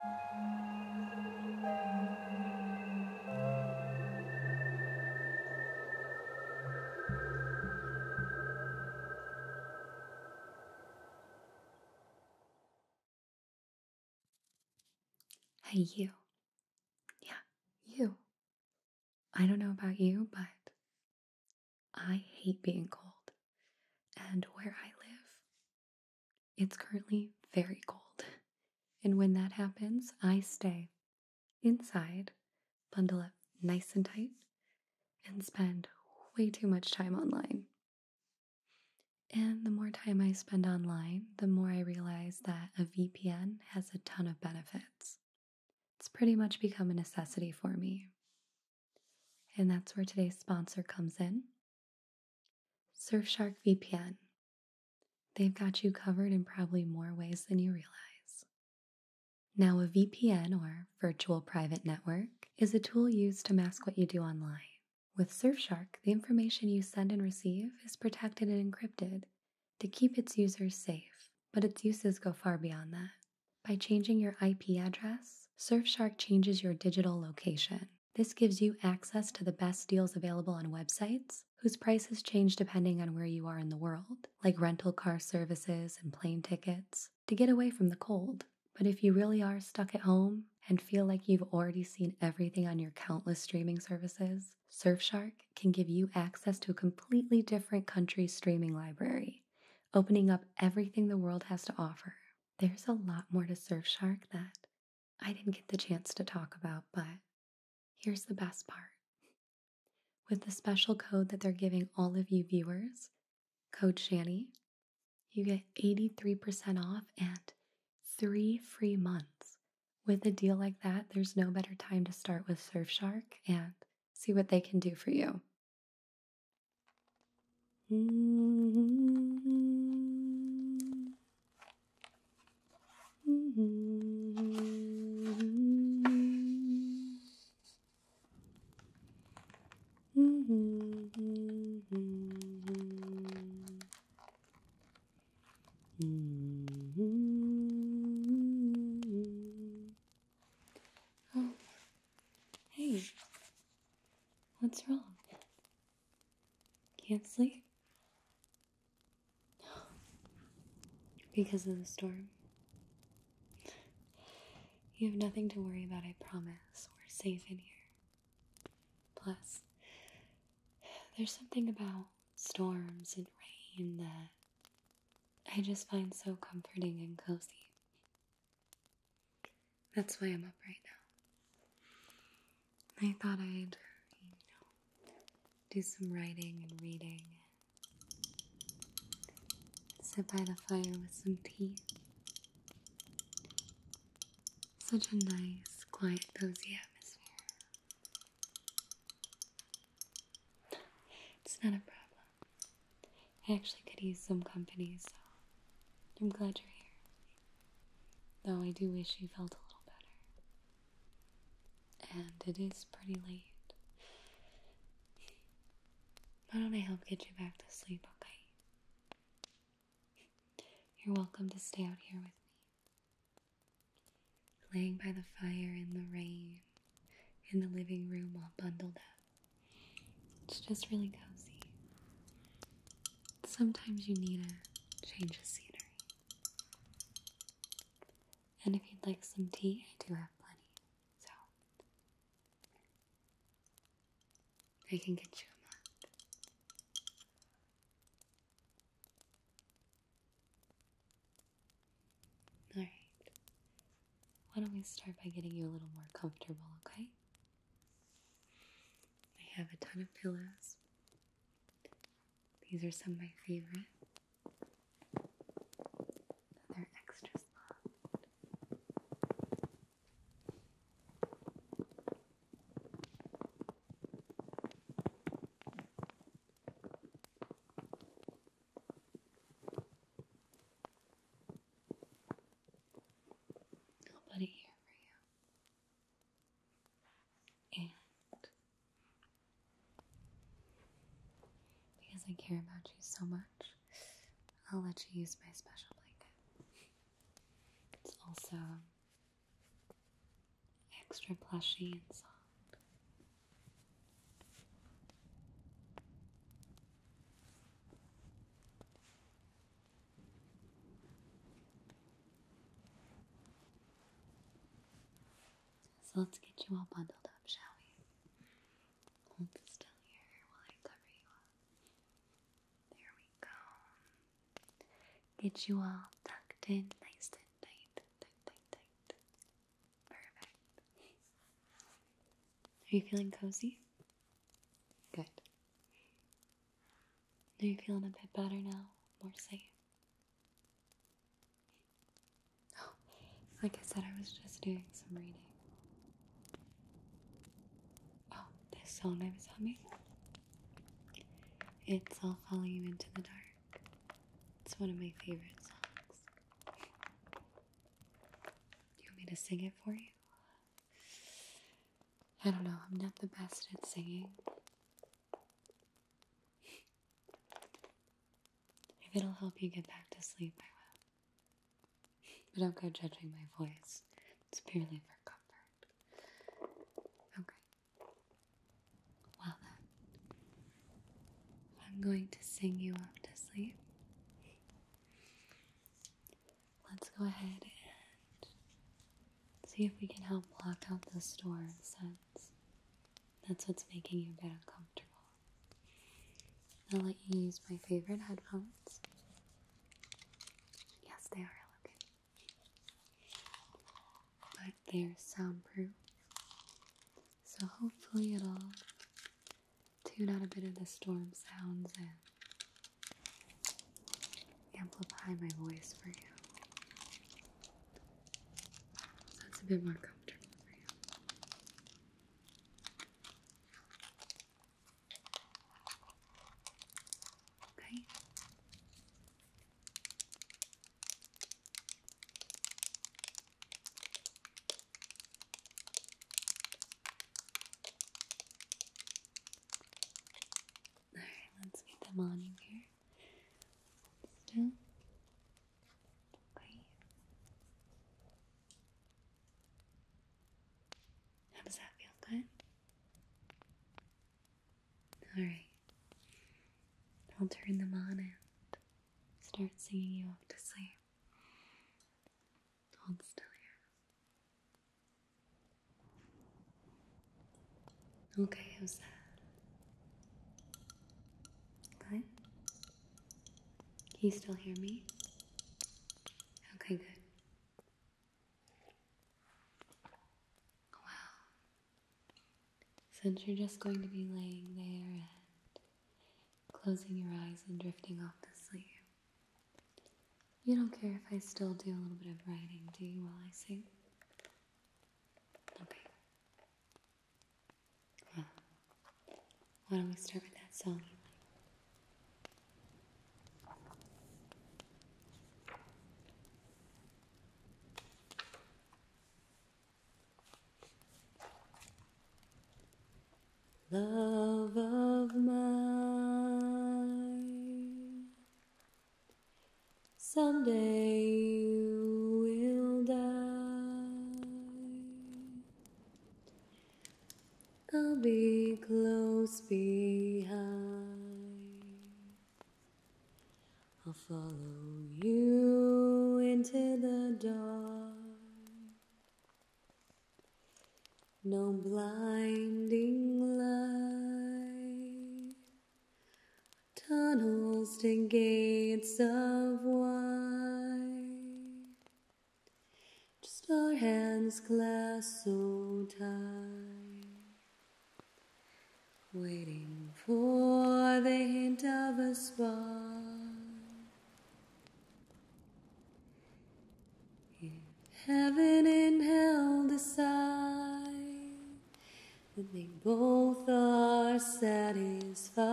Hey, you. Yeah, you. I don't know about you, but I hate being cold. And where I live, it's currently very cold, and when that happens, I stay inside, bundle up nice and tight, and spend way too much time online. And the more time I spend online, the more I realize that a VPN has a ton of benefits. It's pretty much become a necessity for me. And that's where today's sponsor comes in Surfshark VPN. They've got you covered in probably more ways than you realize. Now, a VPN or virtual private network is a tool used to mask what you do online. With Surfshark, the information you send and receive is protected and encrypted to keep its users safe, but its uses go far beyond that. By changing your IP address, Surfshark changes your digital location. This gives you access to the best deals available on websites whose prices change depending on where you are in the world, like rental car services and plane tickets, to get away from the cold. But if you really are stuck at home and feel like you've already seen everything on your countless streaming services, Surfshark can give you access to a completely different country's streaming library, opening up everything the world has to offer. There's a lot more to Surfshark that I didn't get the chance to talk about, but here's the best part. With the special code that they're giving all of you viewers, code Shani, you get 83% off and three free months. With a deal like that, there's no better time to start with Surfshark and see what they can do for you. Oh, hey, what's wrong? Can't sleep? because of the storm. You have nothing to worry about, I promise. We're safe in here. Plus, there's something about storms and rain that I just find so comforting and cozy. That's why I'm up right now. I thought I'd, you know, do some writing and reading. Sit by the fire with some tea. Such a nice, quiet, cozy atmosphere. It's not a problem. I actually could use some company, so I'm glad you're here. Though I do wish you felt a little better. And it is pretty late. Why don't I help get you back to sleep, okay? You're welcome to stay out here with me. Laying by the fire in the rain, in the living room all bundled up. It's just really cozy. Sometimes you need a change of scenery. And if you'd like some tea, I do have plenty, so I can get you a mug. Alright, why don't we start by getting you a little more comfortable, okay? I have a ton of pillows. These are some of my favorites. They're extra soft i here for you. And because I care about you so much, I'll let you use my special blanket. It's also extra plushy and soft. So let's get you all bundled up, shall we? still here while I cover you up. There we go. Get you all tucked in nice and tight, tight, tight, tight. Perfect. Are you feeling cozy? Good. Are you feeling a bit better now? More safe? Oh, like I said, I was just doing some reading. Oh, this song is on me. It's I'll Follow You Into the Dark. It's one of my favorite songs. Do you want me to sing it for you? I don't know, I'm not the best at singing. if it'll help you get back to sleep, I will. But don't go judging my voice, it's purely for comfort. Okay. Well then, I'm going to sing you up to sleep let's go ahead and see if we can help block out the store scents. That's what's making you a bit uncomfortable. I'll let you use my favorite headphones. Yes, they are elegant. But they're soundproof. So hopefully it'll tune out a bit of the storm sounds and amplify my voice for you. So a bit more comfortable for you. Okay. Alright, let's get them on in here. Still. Okay. How does that feel good? Alright. I'll turn them on and start singing you off to sleep. Hold still here. Okay, how's that? Good? Can you still hear me? Okay, good. Wow. Since you're just going to be laying there and closing your eyes and drifting off to sleep, you don't care if I still do a little bit of writing, do you, while I sing? Okay. Well, why don't we start with that song love of mine. Someday you will die. I'll be close behind. I'll follow you into the dark. No blinding light, tunnels and gates of white. just our hands clasped so tight, waiting for the hint of a spark if heaven and hell decide that they both are satisfied,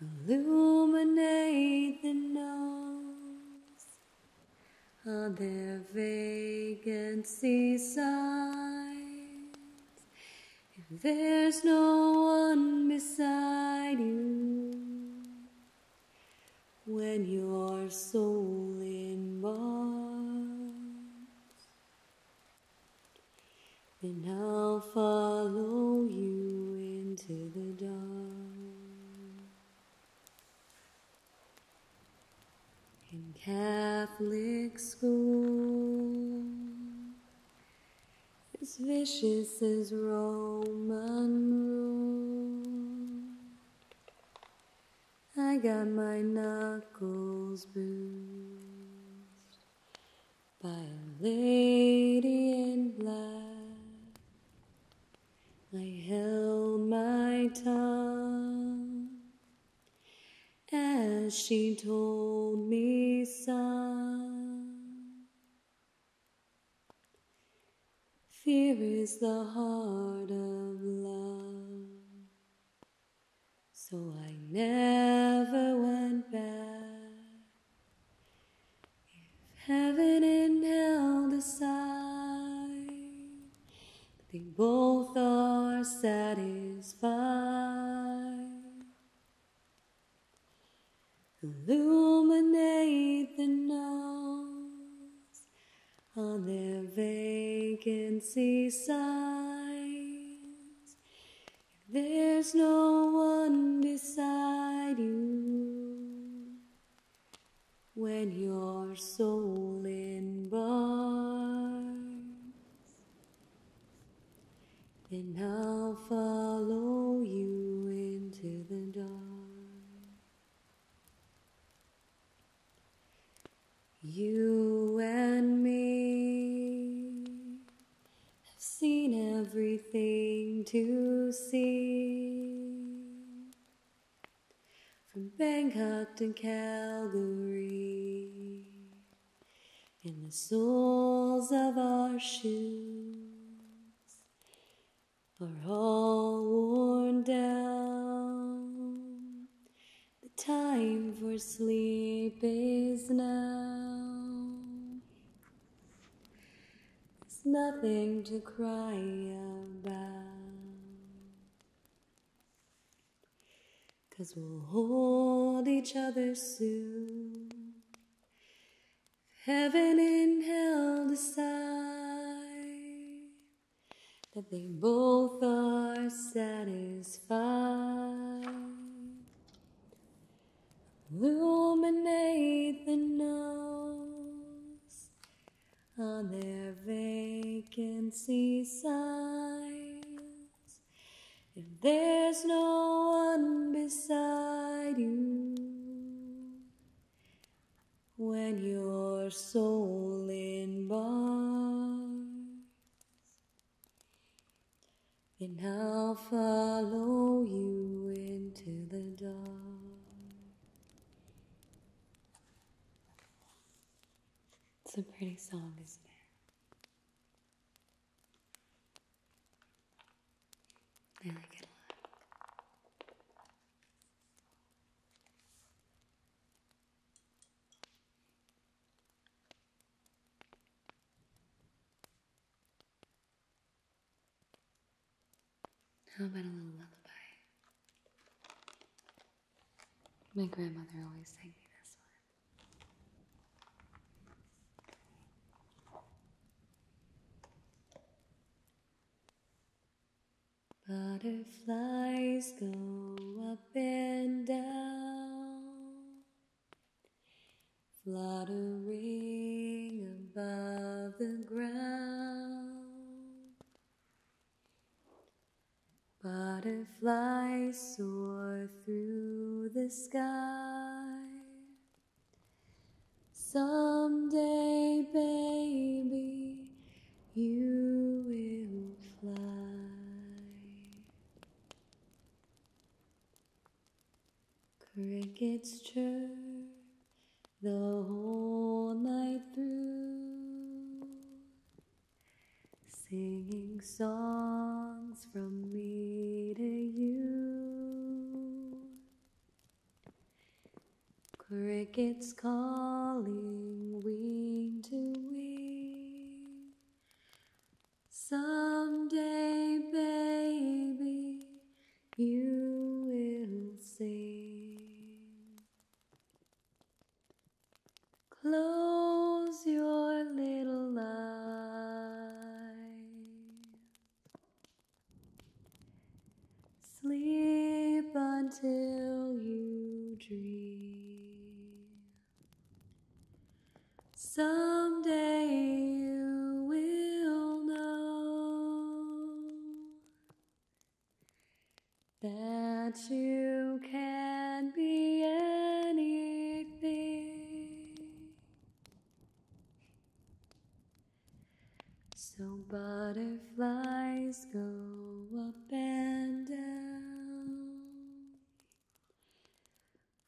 illuminate the nose on their vacant signs. If there's no one beside you when your soul in mine, then I'll follow you into the dawn. In Catholic school, as vicious as Roman road. I got my knuckles bruised by a lady in black. I held my tongue as she told me, son. Fear is the heart of love. So I never went back. If heaven and hell decide, they both are satisfied. Illuminate the notes on their vacancy signs. If there's no one beside you when your soul embarks and I'll follow you into the dark. You and me have seen everything to see. From Bangkok to Calgary, in the soles of our shoes are all worn down. The time for sleep is now. There's nothing to cry about. Cause we'll hold each other soon Heaven and hell decide that they both are satisfied. Illuminate the nose on their vacancy signs if there's no one beside you when your soul in bars, then I'll follow you into the dark. It's a pretty song, isn't it? Now I can look. How about a little lullaby? My grandmother always sang me this one. Butterflies go up and down, fluttering above the ground. Butterflies soar through the sky, Someday, baby, you will fly. Crickets chirp the whole night through, singing songs from me to you. Crickets calling wing to wing. Someday, baby, you will sing. Close your little eyes. Sleep until you dream. Someday you will know that you can be anything so butterflies go up and down,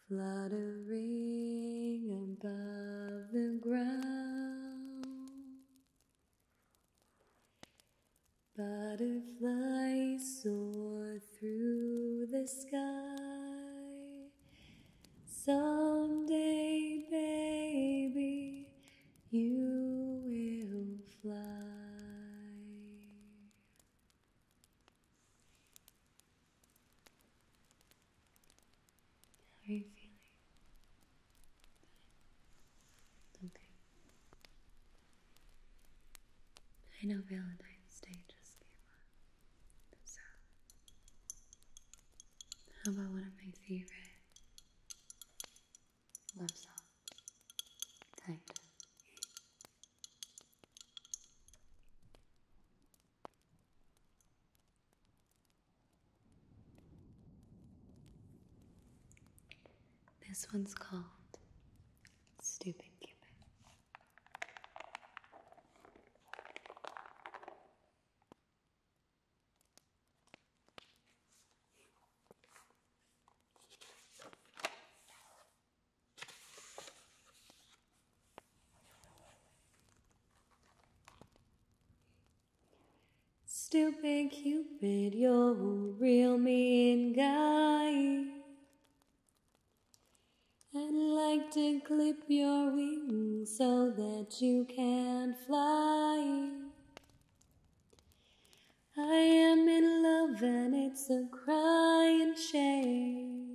fluttering above the ground. Butterflies soar through the sky, Someday, baby, you will fly. How are you feeling? Okay. I know Valentine's Day just came how about one of my favorite love songs? This one's called Stupid Cupid. Stupid Cupid, you're a real mean guy. I'd like to clip your wings so that you can not fly. I am in love and it's a crying shame.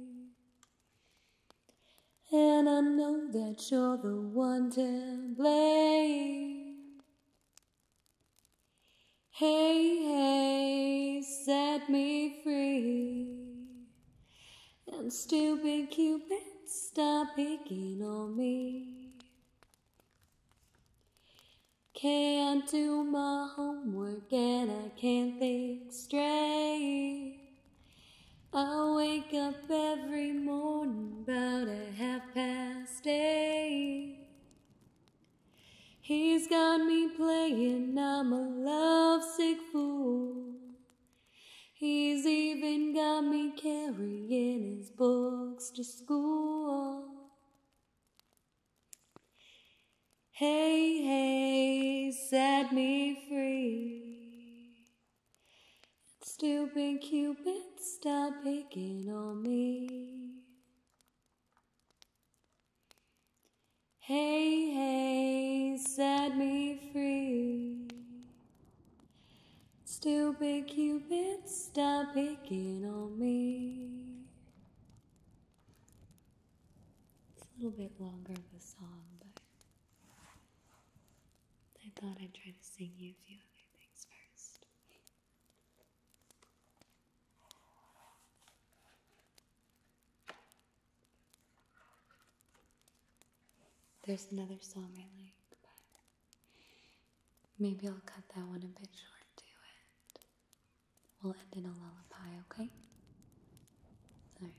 And I know that you're the one to blame. Hey, hey, set me free. And stupid Cupid, stop picking on me. Can't do my homework and I can't think straight. I wake up every morning about a half past eight. He's got me playing, I'm a lovesick fool. He's even got me carrying his books to school. Hey, hey, set me free. Stupid Cupid, stop picking on me. Hey, hey, set me free. Stupid Cupid, stop picking on me. It's a little bit longer of a song, but I thought I'd try to sing you a few other things first. There's another song I like, but maybe I'll cut that one a bit short too, and we'll end in a lullaby, okay? Sorry.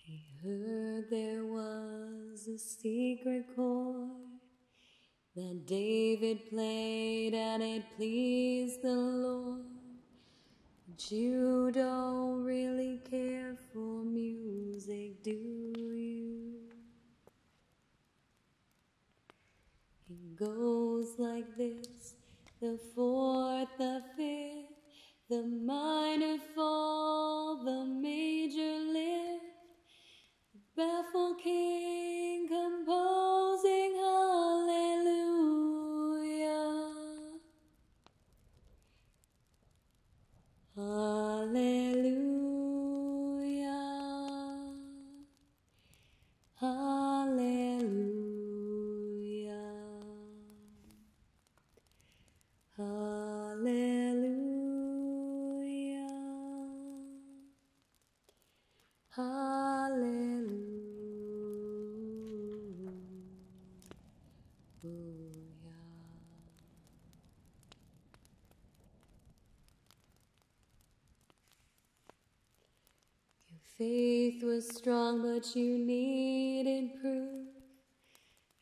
He heard there was a secret chord that David played and it pleased the Lord. But you don't really care for music, do you? It goes like this the fourth, the fifth, the minor fall, the major lift, the king composing hallelujah. Hallelujah. Hallelujah. Hallelujah. Hallelujah. Your faith was strong, but you needed proof.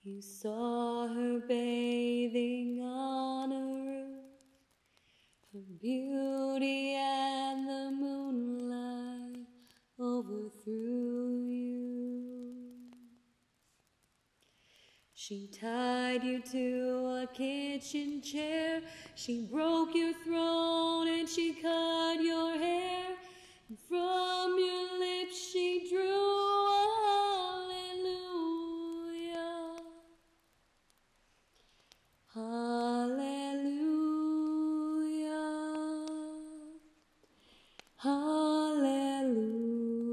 You saw her bathing on a roof. Her beauty and the moonlight overthrew you. She tied you to a kitchen chair. She broke your throne and she cut your hair. And from your lips she drew Hallelujah. Hallelujah. Hallelujah.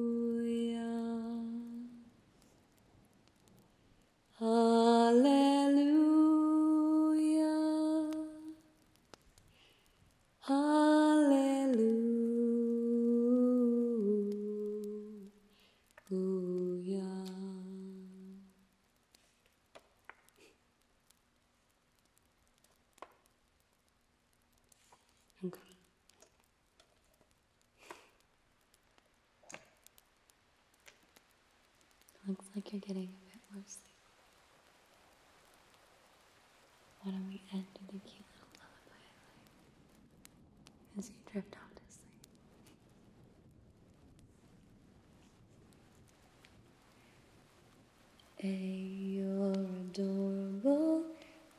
Hallelujah. Hallelujah. Okay. Looks like you're getting a bit more sleep. Why don't we end with a cute little lullaby as you drift off to sleep? A, you're adorable.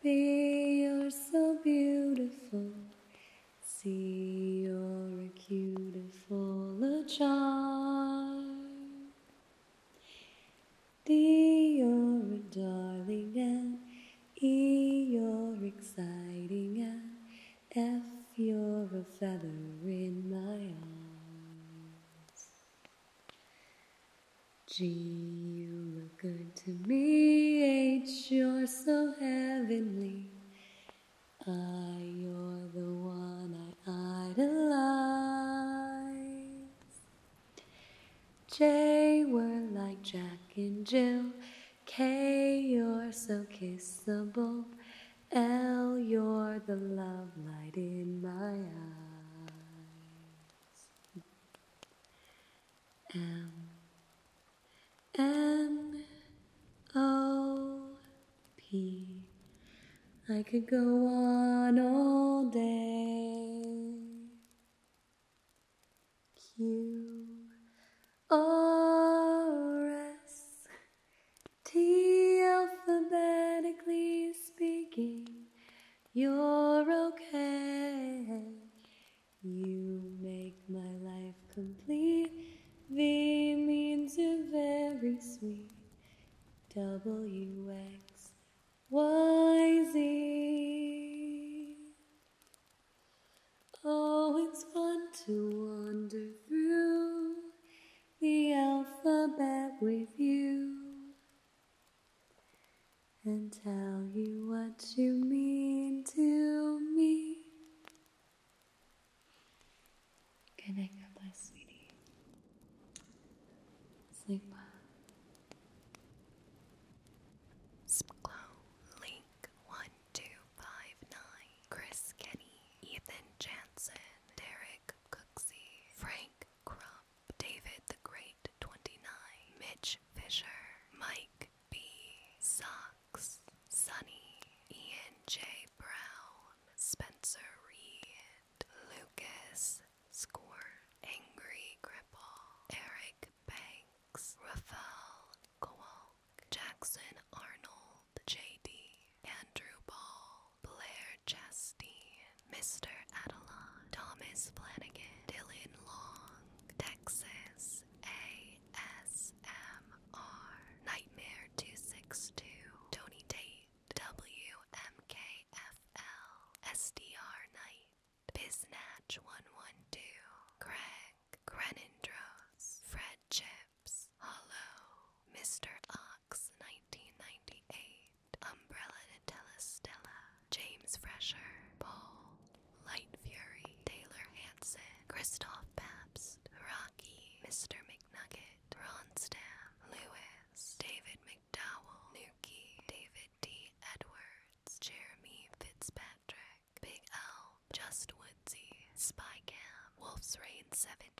B, you're so beautiful. C, you're a beautiful a charm. D, you're a darling. And E, you're exciting. And F, you're a feather in my arms. G, you look good to me. H, you're so heavenly. I, ah, you're the one I idolize. J, we're like Jack and Jill. K, you're so kissable. L, you're the love light in my eyes. M N O P. I could go on all day. Q R S T alphabetically speaking, you're okay. You make my life complete. V means you're very sweet. W X Y Z. Oh, it's fun to wander through the alphabet with you and tell you what you mean to me. Good night, God sweetie. Sleep well. Link, 1259, Chris Kenny, Ethan Jansen, Derek Cooksey, Frank Crump, David the Great 29, Mitch Fisher, Mike B, Socks, Sonny, Ian J. Brown, Spencer Reed, Lucas Score, Angry Cripple, Eric Banks, Raphael Kowalk, Jackson Arnold, J.D., Andrew Ball, Blair Chastity, Mr. Adelon, Thomas Flanagan, Dylan Long, Texas ASMR, Nightmare 262, Tony Tate, WMKFL, SDR Knight, Biznatch112, Craig, Grenindros, Fred Chips, Hello, Mr. Ox 1998, Umbrella to Telestella, James Fresher, Paul, Light Fury, Taylor Hanson, Christoph Pabst, Rocky, Mr. McNugget, Ron Ronstam, Lewis, David McDowell, Nuki, David D. Edwards, Jeremy Fitzpatrick, Big L, Just Woodsy, Spy Cam, Wolf's Reign 17,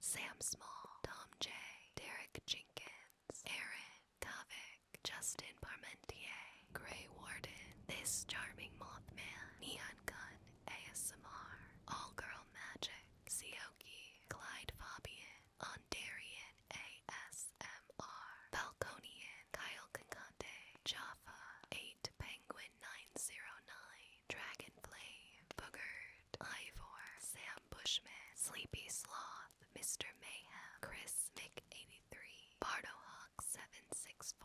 Sam Small, Tom J, Derek Jenkins, Aaron Kovic, Justin Parmentier, Gray Warden, This Charming Mothman, Neon Gun, ASMR, All Girl Magic, Sioki, Clyde Fabian, Ondarian ASMR, Falconian, Kyle Concante, Jaffa, 8 Penguin 909, Dragonplay, Boogerd, Ivor, Sam Bushman, Sleepy Sloth, Mr. Mayhem, Chris Mick83, BardoHawk764,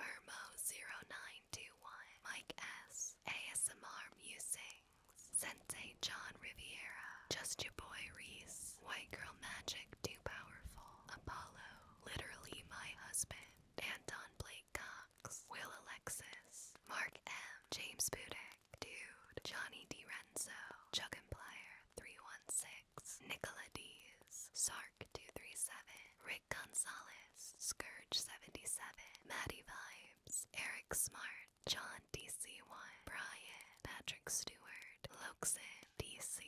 Murmo0921, Mike S, ASMR Musings, Sensei John Riviera, Just Your Boy Reese, White Girl Magic Too Powerful, Apollo, Literally My Husband, Anton Blake Cox, Will Alexis, Mark M, James Budet, Clark, Dude, Johnny DiRenzo, Chuggimplier 316, Nicola Dees, Sark 237, Rick Gonzalez, Scourge 77, Maddie Vibes, Eric Smart, John DC1, Brian, Patrick Stewart, Loxin, DC.